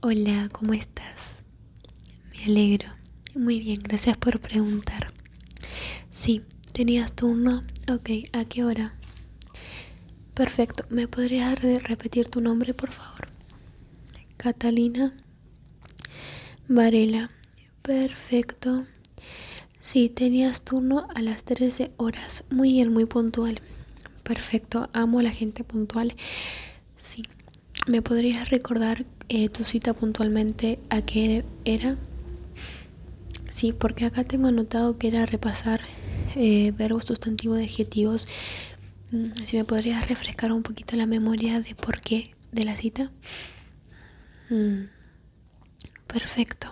Hola, ¿cómo estás? Me alegro. Muy bien, gracias por preguntar. Sí, tenías turno. Ok, ¿a qué hora? Perfecto, ¿me podrías repetir tu nombre, por favor? Catalina Varela. Perfecto. Sí, tenías turno a las 13 horas. Muy bien, muy puntual. Perfecto, amo a la gente puntual. Sí. ¿Me podrías recordar eh, tu cita puntualmente a qué era? Sí, porque acá tengo anotado que era repasar eh, verbos, sustantivos, adjetivos. Mm, si me podrías refrescar un poquito la memoria de por qué de la cita. Mm, perfecto.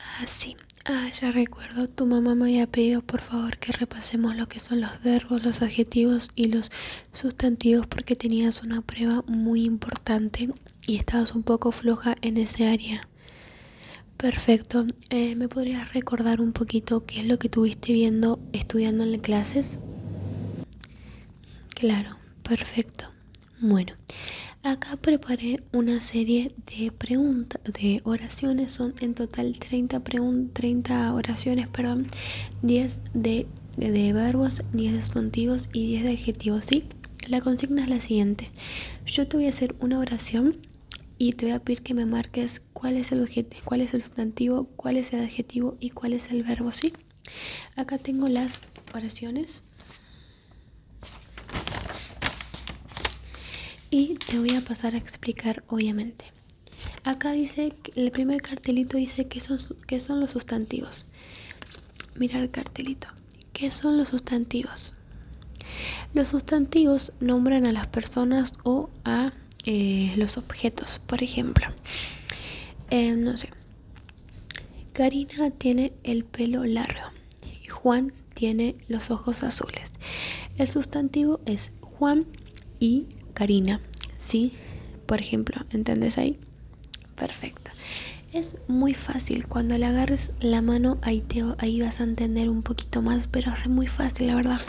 Ah, sí. Ah, ya recuerdo. Tu mamá me había pedido, por favor, que repasemos lo que son los verbos, los adjetivos y los sustantivos porque tenías una prueba muy importante y estabas un poco floja en ese área. Perfecto. Eh, ¿Me podrías recordar un poquito qué es lo que tuviste viendo, estudiando en las clases? Claro, perfecto. Bueno, acá preparé una serie de preguntas, de oraciones, son en total 30, 30 oraciones, perdón, 10 de, verbos, 10 sustantivos y 10 de adjetivos, ¿sí? La consigna es la siguiente. Yo te voy a hacer una oración y te voy a pedir que me marques cuál es el cuál es el sustantivo, cuál es el adjetivo y cuál es el verbo, ¿sí? Acá tengo las oraciones. Y te voy a pasar a explicar obviamente. Acá dice, el primer cartelito dice que son, los sustantivos. Mira el cartelito. ¿Qué son los sustantivos? Los sustantivos nombran a las personas o a eh, los objetos. Por ejemplo, eh, no sé, Karina tiene el pelo largo. Juan tiene los ojos azules. El sustantivo es Juan y Karina. ¿Sí? Por ejemplo, ¿entendés ahí? Perfecto. Es muy fácil, cuando le agarres la mano ahí, te, ahí vas a entender un poquito más, pero es muy fácil, la verdad.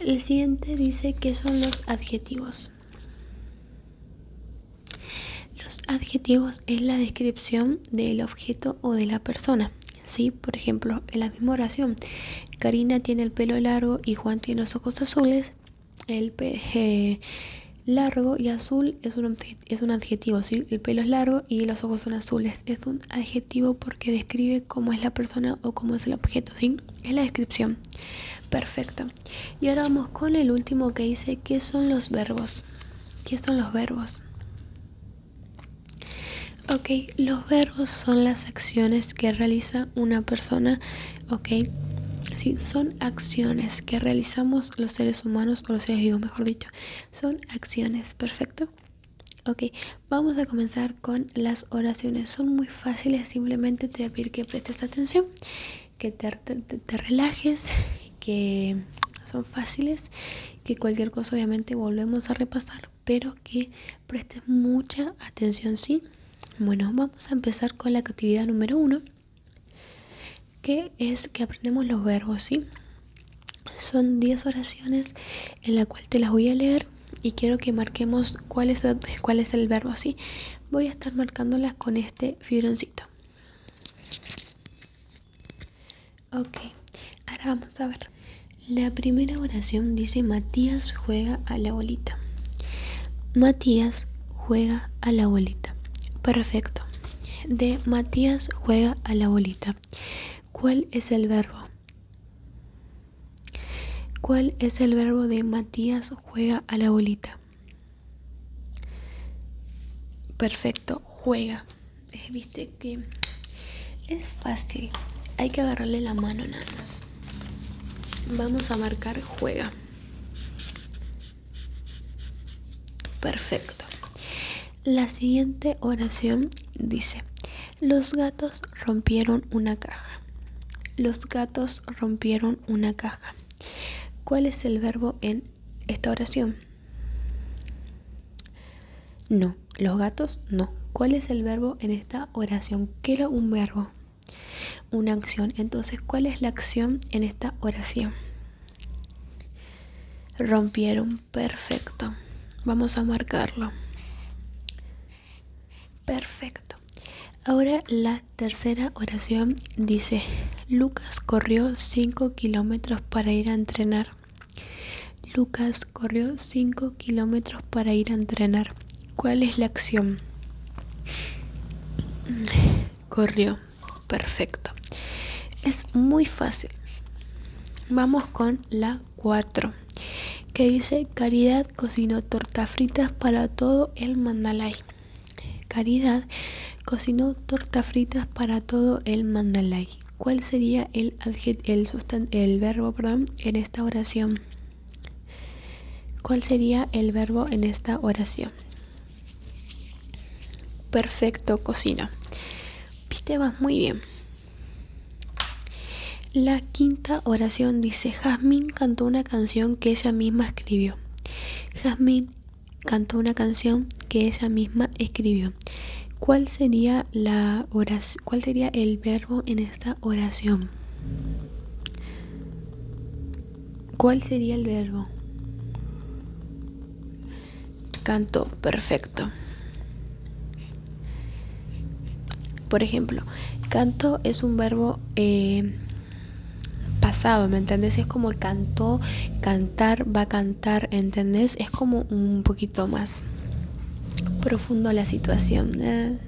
El siguiente dice que son los adjetivos. Los adjetivos es la descripción del objeto o de la persona. ¿sí? Por ejemplo, en la misma oración, Karina tiene el pelo largo y Juan tiene los ojos azules. El pelo eh, largo y azul es un, adjetivo, ¿sí? El pelo es largo y los ojos son azules. Es un adjetivo porque describe cómo es la persona o cómo es el objeto, ¿sí? Es la descripción. Perfecto. Y ahora vamos con el último que dice, ¿qué son los verbos? ¿Qué son los verbos? Ok, los verbos son las acciones que realiza una persona, ok. Sí, son acciones que realizamos los seres humanos o los seres vivos, mejor dicho. Son acciones, perfecto. Ok, vamos a comenzar con las oraciones. Son muy fáciles, simplemente te pedir que prestes atención, que te relajes que son fáciles, que cualquier cosa obviamente volvemos a repasar, pero que presten mucha atención, ¿sí? Bueno, vamos a empezar con la actividad número uno, que es que aprendemos los verbos, ¿sí? Son 10 oraciones en la cual te las voy a leer y quiero que marquemos cuál es, cuál es el verbo, ¿sí? Voy a estar marcándolas con este fibroncito. Ok, ahora vamos a ver. La primera oración dice Matías juega a la bolita. Matías juega a la bolita. Perfecto. De Matías juega a la bolita. ¿Cuál es el verbo? ¿Cuál es el verbo de Matías juega a la bolita? Perfecto, juega. Eh, viste que es fácil hay que agarrarle la mano nada más vamos a marcar juega perfecto la siguiente oración dice los gatos rompieron una caja los gatos rompieron una caja cuál es el verbo en esta oración no, los gatos no. ¿Cuál es el verbo en esta oración? ¿Qué era un verbo? Una acción. Entonces, ¿cuál es la acción en esta oración? Rompieron. Perfecto. Vamos a marcarlo. Perfecto. Ahora la tercera oración dice, Lucas corrió 5 kilómetros para ir a entrenar. Lucas corrió 5 kilómetros para ir a entrenar. ¿Cuál es la acción? Mm, corrió. Perfecto. Es muy fácil. Vamos con la 4. Que dice Caridad cocinó tortas fritas para todo el mandalay. Caridad cocinó tortas fritas para todo el mandalay. ¿Cuál sería el, el, el verbo perdón, en esta oración? ¿Cuál sería el verbo en esta oración? Perfecto, cocina. Viste, vas muy bien. La quinta oración dice, Jasmine cantó una canción que ella misma escribió. Jasmine cantó una canción que ella misma escribió. ¿Cuál sería, la oración, ¿Cuál sería el verbo en esta oración? ¿Cuál sería el verbo? Canto perfecto. Por ejemplo, canto es un verbo eh, pasado, ¿me entiendes? Es como cantó, cantar, va a cantar. ¿entendés? Es como un poquito más profundo la situación. ¿eh?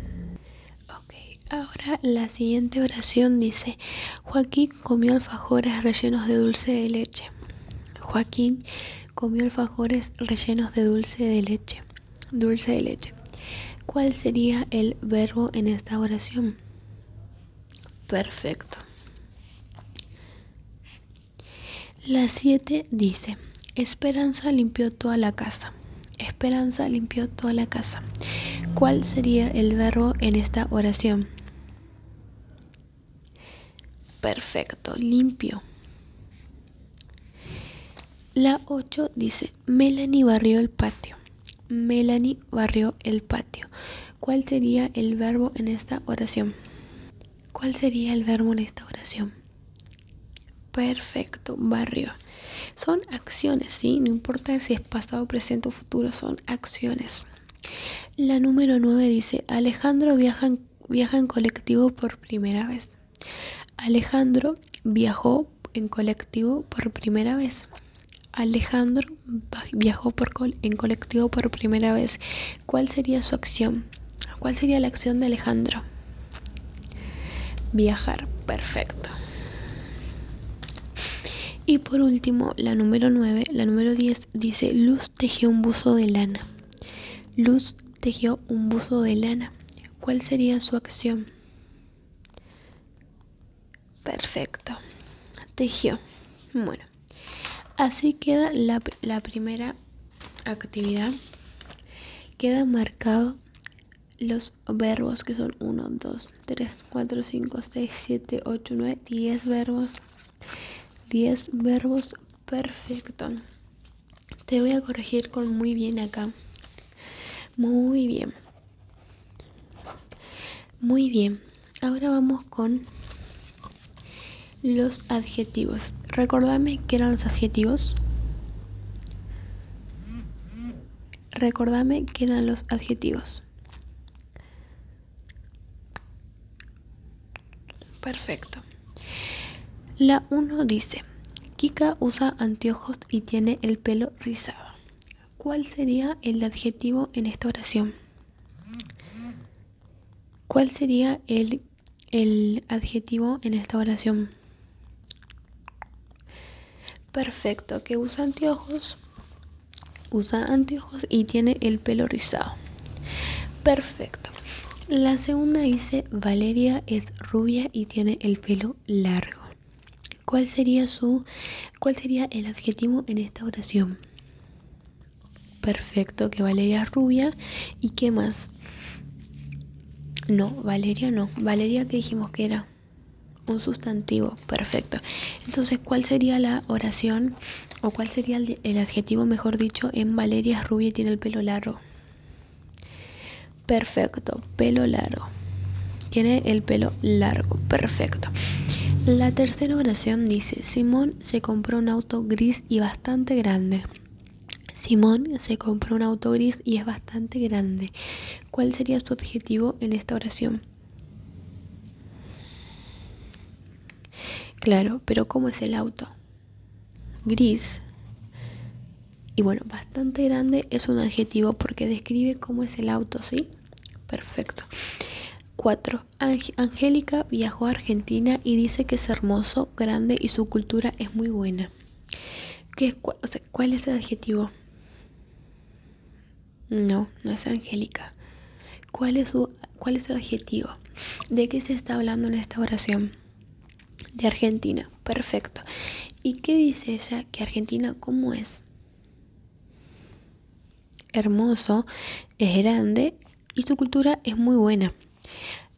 Ok, ahora la siguiente oración dice, Joaquín comió alfajores rellenos de dulce de leche. Joaquín comió alfajores rellenos de dulce de leche. Dulce de leche. ¿Cuál sería el verbo en esta oración? Perfecto. La 7 dice, Esperanza limpió toda la casa. Esperanza limpió toda la casa. ¿Cuál sería el verbo en esta oración? Perfecto, limpio. La 8 dice, Melanie barrió el patio. Melanie barrió el patio. ¿Cuál sería el verbo en esta oración? ¿Cuál sería el verbo en esta oración? Perfecto, barrio. Son acciones, ¿sí? No importa si es pasado, presente o futuro, son acciones. La número 9 dice, Alejandro viaja en, colectivo por primera vez. Alejandro viajó en colectivo por primera vez. Alejandro viajó en colectivo por primera vez. ¿Cuál sería su acción? ¿Cuál sería la acción de Alejandro? Viajar, perfecto. Y por último, la número 9, la número 10 dice, Luz tejió un buzo de lana. Luz tejió un buzo de lana. ¿Cuál sería su acción? Perfecto. Tejió. Bueno así queda la, primera actividad. Quedan marcados los verbos que son 1, 2, 3, 4, 5, 6, 7, 8, 9, 10 verbos. 10 verbos. Perfecto. Te voy a corregir con muy bien acá. Muy bien. Muy bien. Ahora vamos con los adjetivos. Recordame qué eran los adjetivos. Recordame qué eran los adjetivos. Perfecto. La 1 dice, Kika usa anteojos y tiene el pelo rizado. ¿Cuál sería el adjetivo en esta oración? ¿Cuál sería el, adjetivo en esta oración? Perfecto, que usa anteojos. Usa anteojos y tiene el pelo rizado. Perfecto. La segunda dice, Valeria es rubia y tiene el pelo largo. cuál sería el adjetivo en esta oración? Perfecto, que Valeria rubia. ¿Y qué más? No, Valeria no. Valeria que dijimos que era un sustantivo. Perfecto. Entonces, ¿cuál sería la oración o cuál sería el, adjetivo, mejor dicho, en Valeria rubia tiene el pelo largo? Perfecto, pelo largo. Tiene el pelo largo. Perfecto. La tercera oración dice, Simón se compró un auto gris y bastante grande. Simón se compró un auto gris y es bastante grande. ¿Cuál sería su adjetivo en esta oración? Claro, pero ¿cómo es el auto? Gris. Y bueno, bastante grande es un adjetivo porque describe cómo es el auto, ¿sí? Perfecto. 4. Angélica viajó a Argentina y dice que es hermoso, grande y su cultura es muy buena. ¿Qué, ¿Cuál es el adjetivo? No, no es Angélica. ¿Cuál es, ¿Cuál es el adjetivo? ¿De qué se está hablando en esta oración? De Argentina. Perfecto. ¿Y qué dice ella? Que Argentina, ¿cómo es? hermoso, es grande y su cultura es muy buena.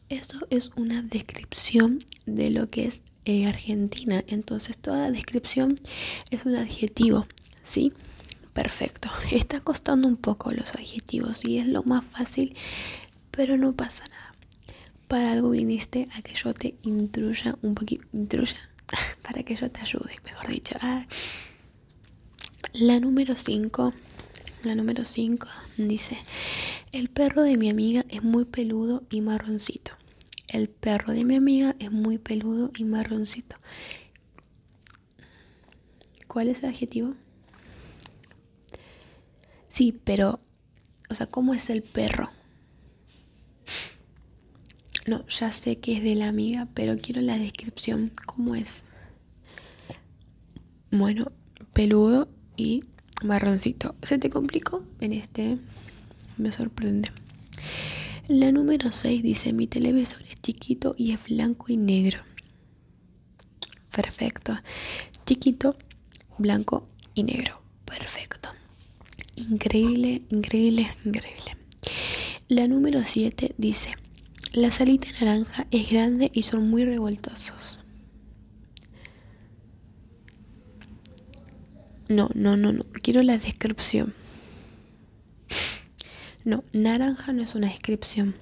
Eso es una descripción de lo que es eh, Argentina. Entonces toda descripción es un adjetivo, ¿sí? Perfecto. Está costando un poco los adjetivos y es lo más fácil, pero no pasa nada. Para algo viniste a que yo te intruya un poquito, intruya, para que yo te ayude, mejor dicho. Ah. La número 5, la número 5 dice, el perro de mi amiga es muy peludo y marroncito. El perro de mi amiga es muy peludo y marroncito. ¿Cuál es el adjetivo? Sí, pero, o sea, ¿cómo es el perro? No, ya sé que es de la amiga, pero quiero la descripción. ¿Cómo es? Bueno, peludo y marroncito. ¿Se te complicó? En este me sorprende. La número 6 dice, mi televisor es chiquito y es blanco y negro. Perfecto. Chiquito, blanco y negro. Perfecto. Increíble, increíble, increíble. La número 7 dice, la salita naranja es grande y son muy revoltosos. No, no, no, no. Quiero la descripción. No, naranja no es una descripción.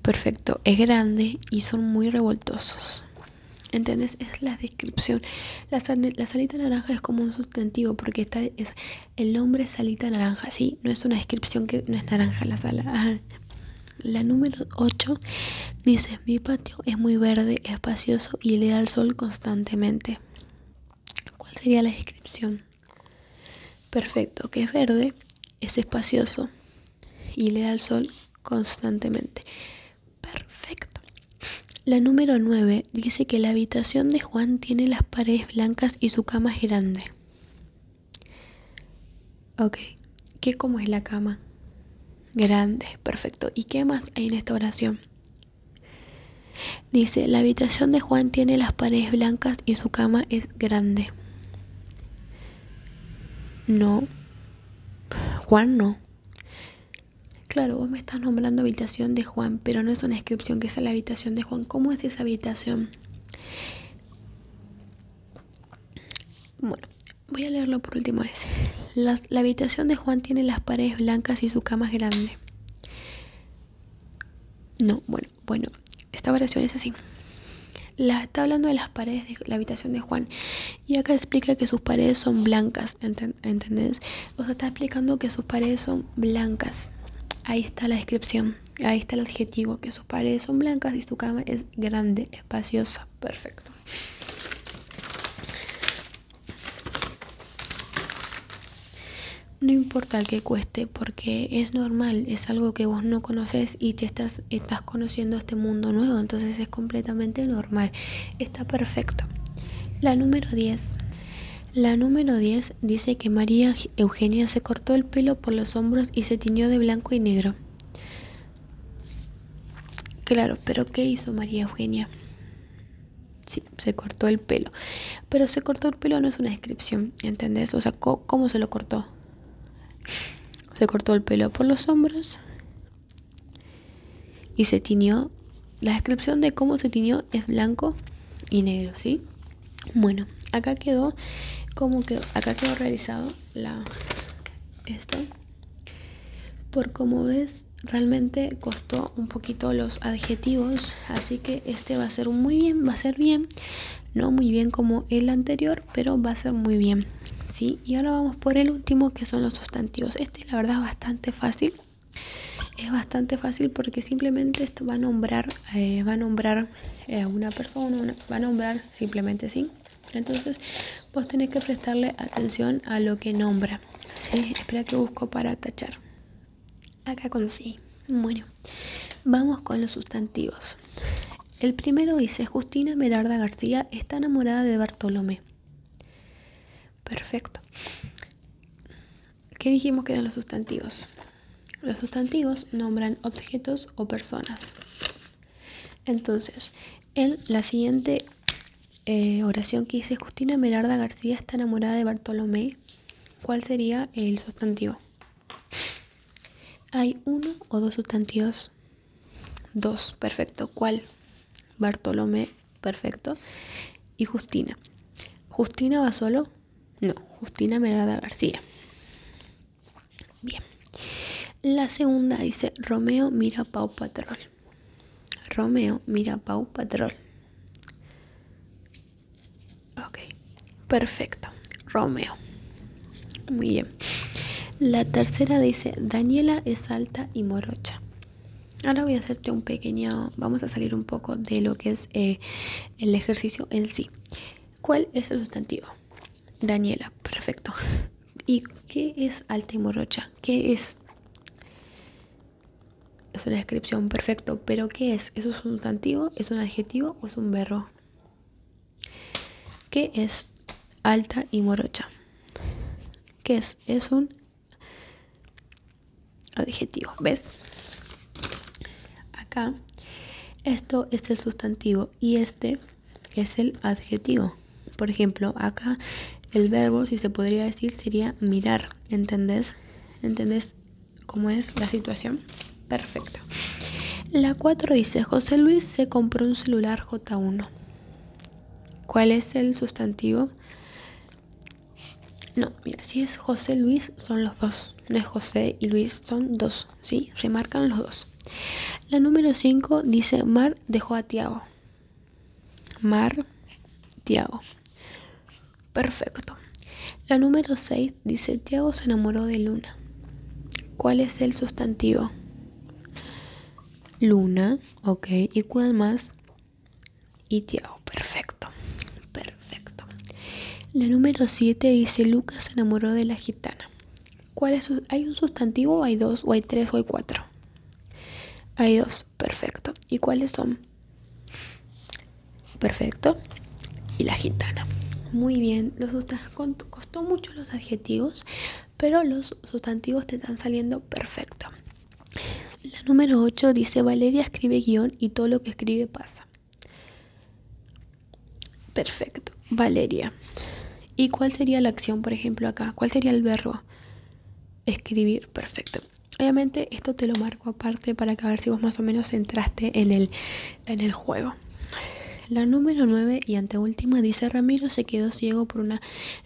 Perfecto, es grande y son muy revoltosos. ¿Entendés? Es la descripción. La, salita naranja es como un sustantivo porque está, es, el nombre es salita naranja, sí, no es una descripción que no es naranja la sala. La número 8 dice, mi patio es muy verde, espacioso y le da el sol constantemente. ¿Cuál sería la descripción? Perfecto, que es verde, es espacioso y le da el sol constantemente. Perfecto. La número 9 dice que la habitación de Juan tiene las paredes blancas y su cama es grande. Ok, ¿qué como es la cama? Grande, perfecto. ¿Y qué más hay en esta oración? Dice, la habitación de Juan tiene las paredes blancas y su cama es grande. No, Juan no. Claro, vos estás nombrando habitación de Juan, pero no es una inscripción que sea la habitación de Juan. ¿Cómo es esa habitación? Bueno, voy a leerlo por última vez. La, habitación de Juan tiene las paredes blancas y su cama es grande. No, bueno, bueno, esta variación es así. La, está hablando de las paredes de la habitación de Juan. Y acá explica que sus paredes son blancas, ¿entendés? O sea, está explicando que sus paredes son blancas. Ahí está la descripción, ahí está el adjetivo, que sus paredes son blancas y su cama es grande, espaciosa, perfecto. No importa el que cueste, porque es normal, es algo que vos no conoces y te estás, estás conociendo este mundo nuevo, entonces es completamente normal, está perfecto. La número 10. La número 10 dice que María Eugenia se cortó el pelo por los hombros y se tiñó de blanco y negro. Claro, pero ¿qué hizo María Eugenia? Sí, se cortó el pelo. Pero se cortó el pelo no es una descripción, ¿entendés? O sea, ¿cómo se lo cortó? Se cortó el pelo por los hombros y se tiñó la descripción de cómo se tiñó es blanco y negro, ¿sí? Bueno, acá quedó como quedó, acá quedó realizado la esto. Por como ves, realmente costó un poquito los adjetivos, así que este va a ser muy bien, va a ser bien, no muy bien como el anterior, pero va a ser muy bien. ¿sí? Y ahora vamos por el último que son los sustantivos. Este la verdad es bastante fácil es bastante fácil porque simplemente esto va a nombrar eh, va a nombrar eh, a una persona va a nombrar simplemente sí entonces vos tenés que prestarle atención a lo que nombra sí espera que busco para tachar acá con sí bueno vamos con los sustantivos el primero dice Justina Merarda García está enamorada de Bartolomé Perfecto. ¿Qué dijimos que eran los sustantivos? Los sustantivos nombran objetos o personas. Entonces, en la siguiente eh, oración que dice Justina Melarda García está enamorada de Bartolomé, ¿cuál sería el sustantivo? ¿Hay uno o dos sustantivos? Dos, perfecto. ¿Cuál? Bartolomé perfecto. Y Justina. ¿Justina va solo? No, Justina Merada García. Bien. La segunda dice Romeo mira Pau Patrol. Romeo mira Pau Patrol. Ok, perfecto. Romeo. Muy bien. La tercera dice Daniela es alta y morocha. Ahora voy a hacerte un pequeño, vamos a salir un poco de lo que es eh, el ejercicio en sí. ¿Cuál es el sustantivo? Daniela, perfecto. ¿Y qué es alta y morocha? ¿Qué es? Es una descripción, perfecto. ¿Pero qué es? ¿Es un sustantivo? ¿Es un adjetivo o es un verbo? ¿Qué es alta y morocha? ¿Qué es? Es un adjetivo, ¿ves? Acá, esto es el sustantivo y este es el adjetivo. Por ejemplo, acá el verbo, si se podría decir, sería mirar, ¿entendés? ¿Entendés cómo es la situación? Perfecto. La 4 dice, José Luis se compró un celular J1. ¿Cuál es el sustantivo? No, mira, si es José Luis, son los dos. No es José y Luis, son dos. ¿Sí? Se marcan los dos. La número 5 dice: Mar dejó a Tiago. Mar, Tiago. Perfecto. La número 6 dice: Tiago se enamoró de Luna. ¿Cuál es el sustantivo? Luna, ok. ¿Y cuál más? Y Tiago, perfecto, perfecto. La número 7 dice, Lucas se enamoró de la gitana. ¿Hay un sustantivo o hay dos? ¿O hay tres o hay cuatro? Hay dos, perfecto. ¿Y cuáles son? Perfecto. Y la gitana. Muy bien, los costó mucho los adjetivos, pero los sustantivos te están saliendo perfecto. La número 8 dice, Valeria escribe guión y todo lo que escribe pasa. Perfecto, Valeria. ¿Y cuál sería la acción, por ejemplo, acá? ¿Cuál sería el verbo? Escribir, perfecto. Obviamente esto te lo marco aparte para que a ver si vos más o menos entraste en el, en el juego. La número 9 y anteúltima dice Ramiro se quedó ciego por una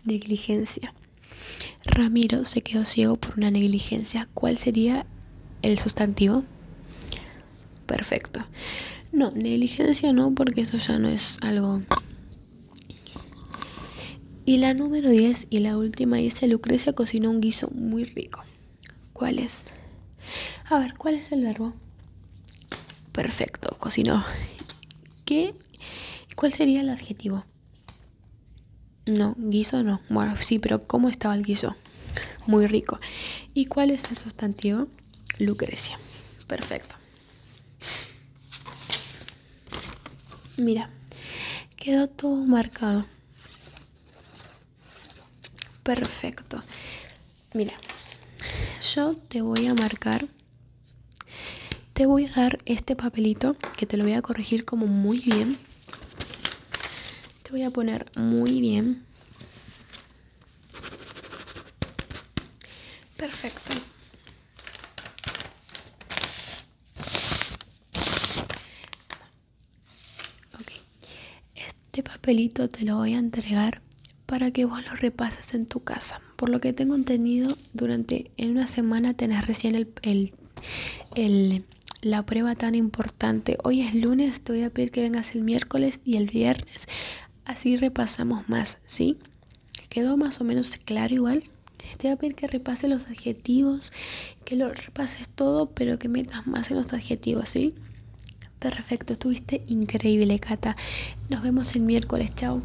negligencia. Ramiro se quedó ciego por una negligencia. ¿Cuál sería el sustantivo? Perfecto. No, negligencia no, porque eso ya no es algo... Y la número 10 y la última dice, Lucrecia cocinó un guiso muy rico. ¿Cuál es? A ver, ¿cuál es el verbo? Perfecto, cocinó. ¿Qué? ¿Cuál sería el adjetivo? No, guiso no. Bueno, sí, pero ¿cómo estaba el guiso? Muy rico. ¿Y cuál es el sustantivo? Lucrecia. Perfecto. Mira, quedó todo marcado. Perfecto. Mira, yo te voy a marcar, te voy a dar este papelito que te lo voy a corregir como muy bien te voy a poner muy bien. Perfecto. Este papelito te lo voy a entregar para que vos lo repases en tu casa. Por lo que tengo entendido, durante en una semana tenés recién el la prueba tan importante. Hoy es lunes, te voy a pedir que vengas el miércoles y el viernes. Así repasamos más, ¿sí? ¿Quedó más o menos claro igual? Te voy a pedir que repases los adjetivos, que lo repases todo, pero que metas más en los adjetivos, ¿sí? Perfecto, estuviste increíble, Cata. Nos vemos el miércoles, chao.